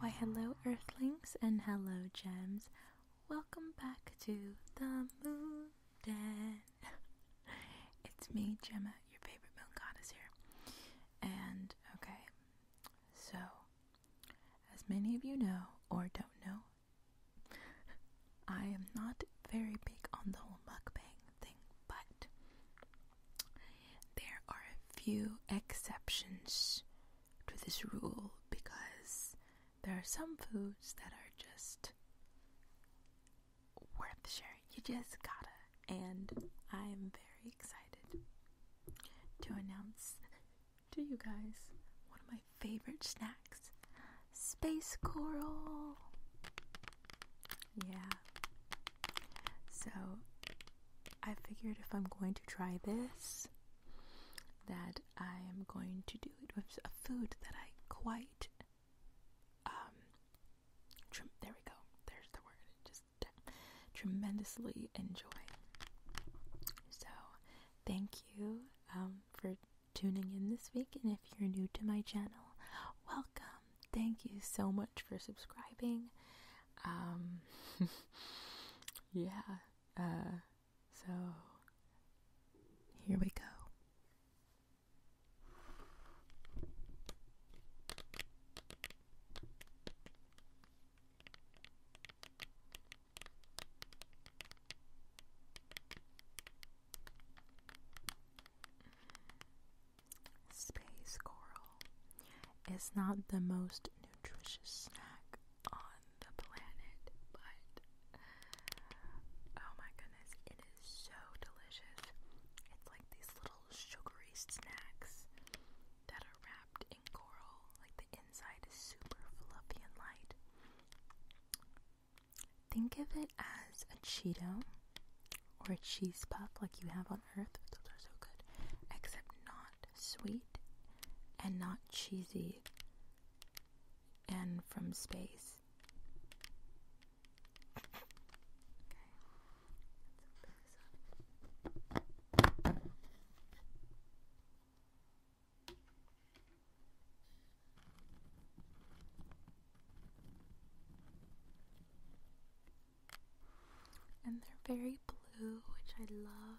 Why, hello, Earthlings, and hello, Gems. Welcome back to the Moon Den. it's me, Gemma your favorite moon god is here. And okay, so as many of you know or don't know, I am not very big on the whole mukbang thing, but there are a few exceptions to this rule because there are some foods that are just worth sharing. You just gotta. And I'm very excited to announce to you guys one of my favorite snacks space coral. Yeah. So I figured if I'm going to try this, that I am going to do it with a food that I quite um, there we go. There's the word. Just tremendously enjoy. So, thank you um, for tuning in this week. And if you're new to my channel, welcome. Thank you so much for subscribing. Um, yeah. Uh, so, here we go. Space coral is not the most nutritious snack on the planet, but Oh my goodness, it is so delicious. It's like these little sugary snacks that are wrapped in coral. Like the inside is super fluffy and light. Think of it as a Cheeto or a cheese puff like you have on Earth. Those are so good. Except not sweet and not cheesy and from space. And they're very blue, which I love.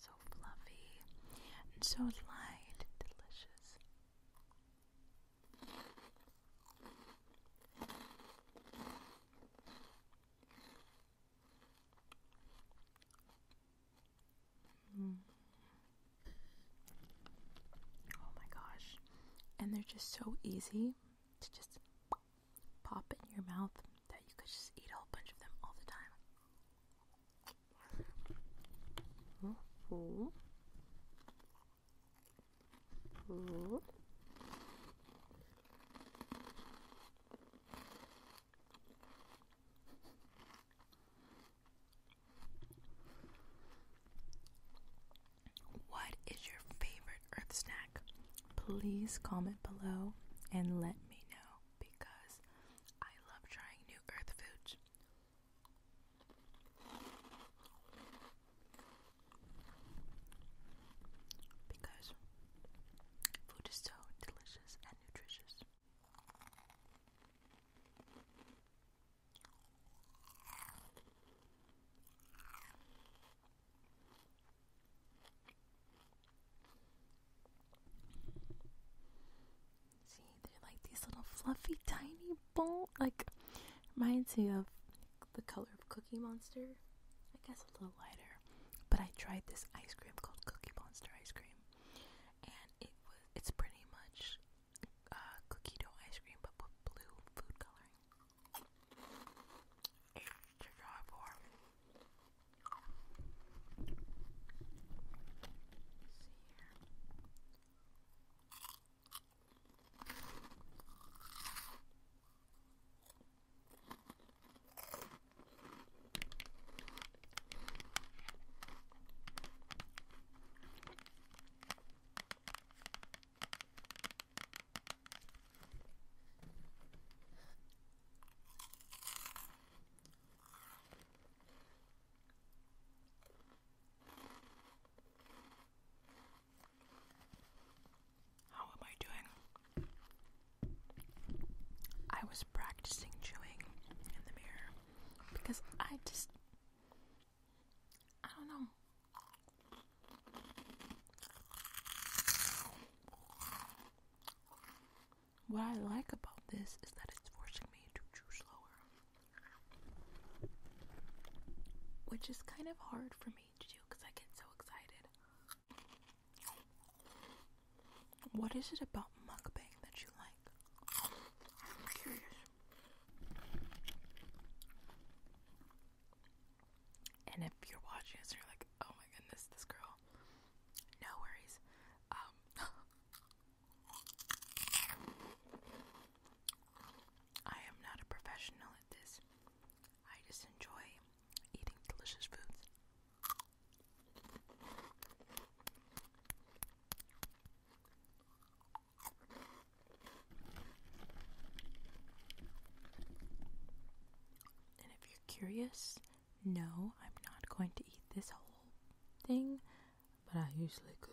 so fluffy and so light and delicious. Mm. Oh my gosh. And they're just so easy to just pop in your mouth that you could just eat a whole bunch of them all the time. 호, 호, What is your favorite Earth snack? Please comment below and let me know because I love trying new earth foods. Because food is so delicious and nutritious. See, they're like these little fluffy, tiny ball. Like, reminds me of the color of Cookie Monster. I guess a little lighter. But I tried this ice cream called Cookie Monster ice cream, and it was it's pretty much uh, cookie dough ice cream, but with blue food coloring to try for. Let's see here. How am I doing? I was practicing chewing in the mirror because I just. I don't know. What I like about this is that it's forcing me to chew slower, which is kind of hard for me to do because I get so excited. What is it about mukbang that you like? I'm curious. And if you're watching us, and you're like, oh my goodness, this girl, no worries. Um, I am not a professional at this. I just enjoy eating delicious foods. And if you're curious, no, I'm not going to eat this whole thing, but I usually could.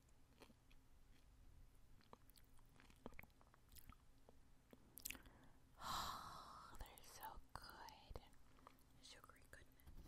Oh, they're so good. Sugary goodness.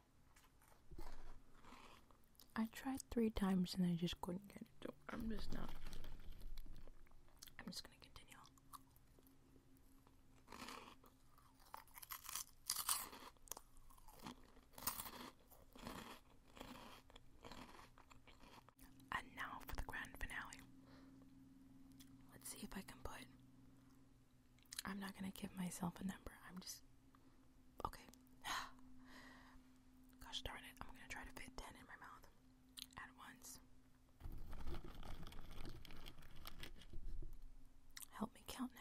I tried three times and I just couldn't get it. So I'm just not. I'm just gonna continue. And now for the grand finale. Let's see if I can put I'm not gonna give myself a number. I'm just okay. Gosh darn it, I'm gonna try to fit 10 in my mouth at once. Help me count now.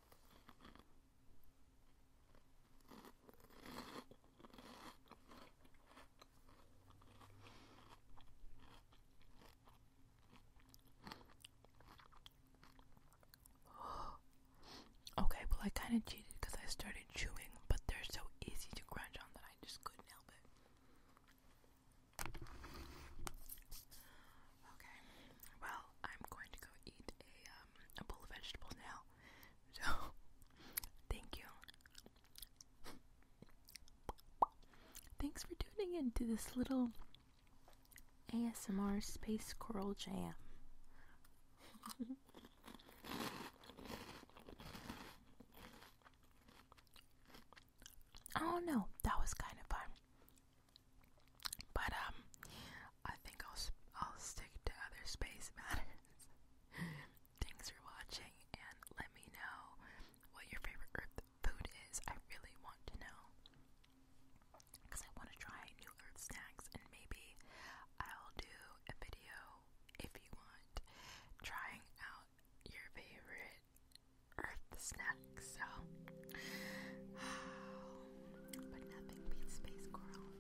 okay, well, I kind of cheated because I started chewing, but they're so easy to crunch on that I just couldn't help it. Okay, well, I'm going to go eat a, um, a bowl of vegetables now. So, thank you. Thanks for tuning in to this little ASMR Space Coral Jam. I don't know. That was kind of fun. But um, I think I'll I'll stick to other space matters. Thanks for watching, and let me know what your favorite Earth food is. I really want to know because I want to try new Earth snacks, and maybe I'll do a video if you want trying out your favorite earth snacks, so. but nothing beats space coral.